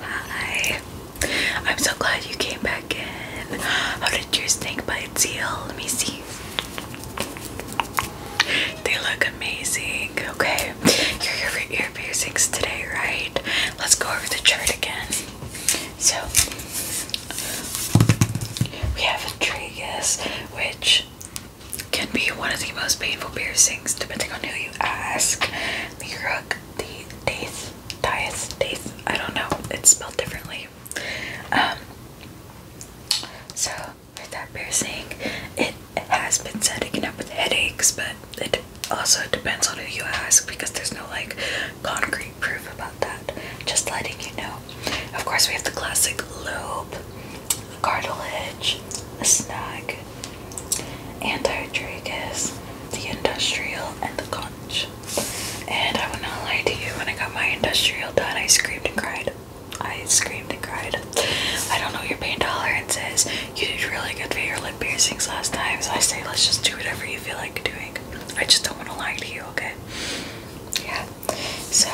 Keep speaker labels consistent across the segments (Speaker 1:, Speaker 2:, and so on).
Speaker 1: Hi. I'm so glad you came back in. How did your snake bite heal? Let me see. They look amazing. Okay. You're here for ear piercings today, right? Let's go over the chart again. So we have a tragus, which can be one of the most painful piercings depending on who you ask. The Uruk, the Daith, Dias, Daith, I don't know, it's spelled differently. Um, so, with that piercing, it has been said it can help with headaches, but it also depends on who you ask because there's no like concrete proof about that. Just letting you know. Of course, we have the classic lobe, cartilage, a snag, antitragus, the industrial, and the conch. And I would not lie to you, when I got my industrial done, I screamed and cried. I screamed and cried. I don't know your pain tolerances. You did really good for your lip piercings last time, so I say let's just do whatever you feel like doing. I just don't want to lie to you, okay? Yeah. So,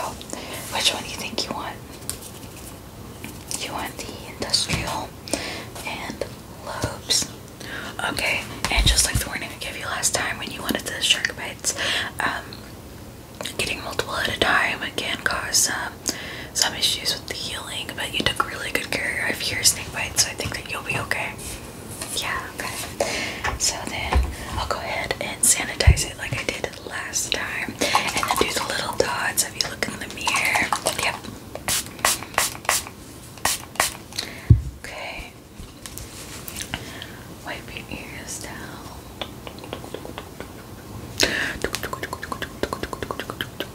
Speaker 1: which one do you think you want? You want the industrial and lobes. Okay, and just like the warning I gave you last time when you wanted the shark bites, um, getting multiple at a time can cause um, some issues with the healing, but you took really good care of your snake bites, so I think that you'll be okay. Yeah, okay. So then I'll go ahead and sanitize it like I did last time. And then do the little dots Have you look in the mirror. Yep. Okay. Wipe your ears down. Okay,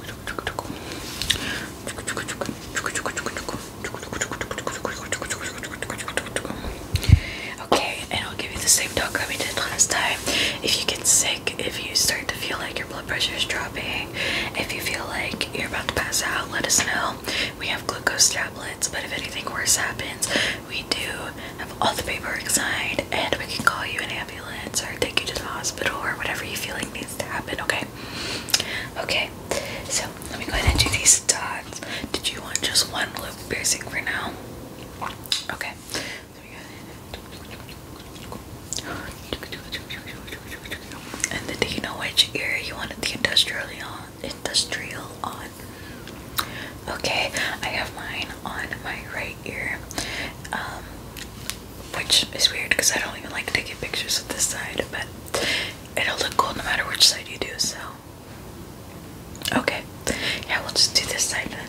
Speaker 1: and I'll give you the same talk we did last time. If you get sick, if you start to feel like your blood pressure is dropping, if you feel like you're about to pass out, let us know. We have glucose tablets, but if anything worse happens, we do have all the paperwork signed and we can call you and or take you to the hospital or whatever you feel like needs to happen, okay? Okay, so let me go ahead and do these dots. Did you want just one loop piercing for now? Okay. And then do you know which ear you wanted the industrial on? Industrial on. Okay, I have mine on my right ear, um, which is weird because I don't even like taking pictures of this side, but it'll look cool no matter which side you do. So, okay, yeah, we'll just do this side then.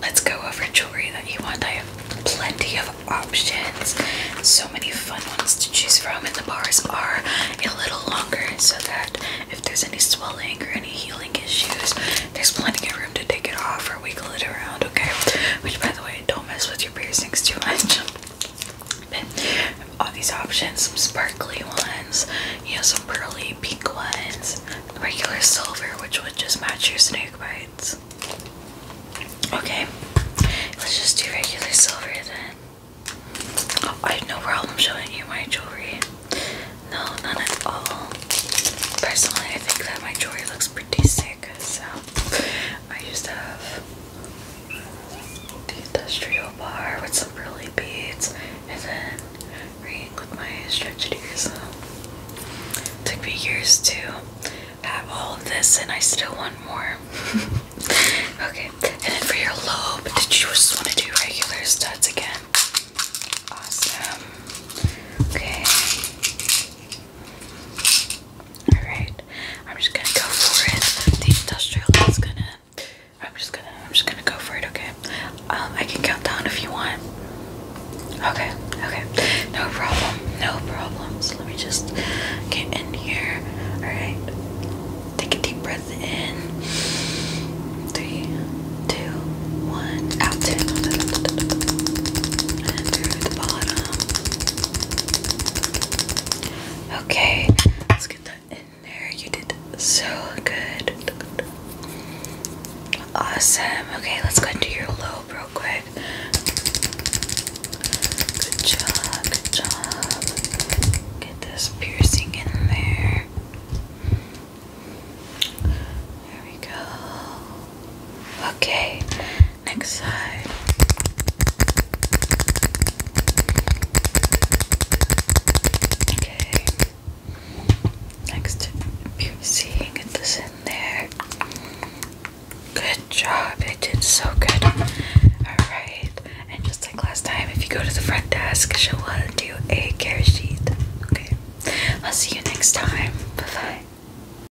Speaker 1: Let's go over jewelry that you want. I have plenty of options, so many fun ones to choose from, and the bars are a little longer so that if there's any swelling or any healing issues, there's plenty of room to take it off or wiggle it around, okay? Which, by the way, don't mess with your piercings too much. all these options, some sparkly ones, you know, some pearly pink ones, regular silver, which would just match your snake bites. Okay, let's just do regular silver then. Oh, I have no problem showing you my jewelry. No, not at all. Personally, I think that my jewelry looks pretty sick, so I just have the industrial bar with some really beads and reading with my stretchy ears. So. Took me years to have all of this, and I still want more. okay, and then for your lobe, did you just want to do regular studs again? Awesome. Okay. Alright, I'm just gonna go for it. The industrial is gonna I'm just gonna I'm just gonna go for it, okay? Um, I can count down if you want. Okay, okay. No problem, no problem. let me just get in here. Alright. Take a deep breath in. Three, two, one, out. And the bottom. Okay, let's get that in there. You did so good. Awesome. Okay, let's go into your low real quick. Good job, good job. Get this piercing in there. There we go. Okay, Next side. Okay. Next, you're seeing it is in there. Good job. It did so good. Alright. And just like last time, if you go to the front desk, she'll want uh, to do a care sheet. Okay. I'll see you next time. bye.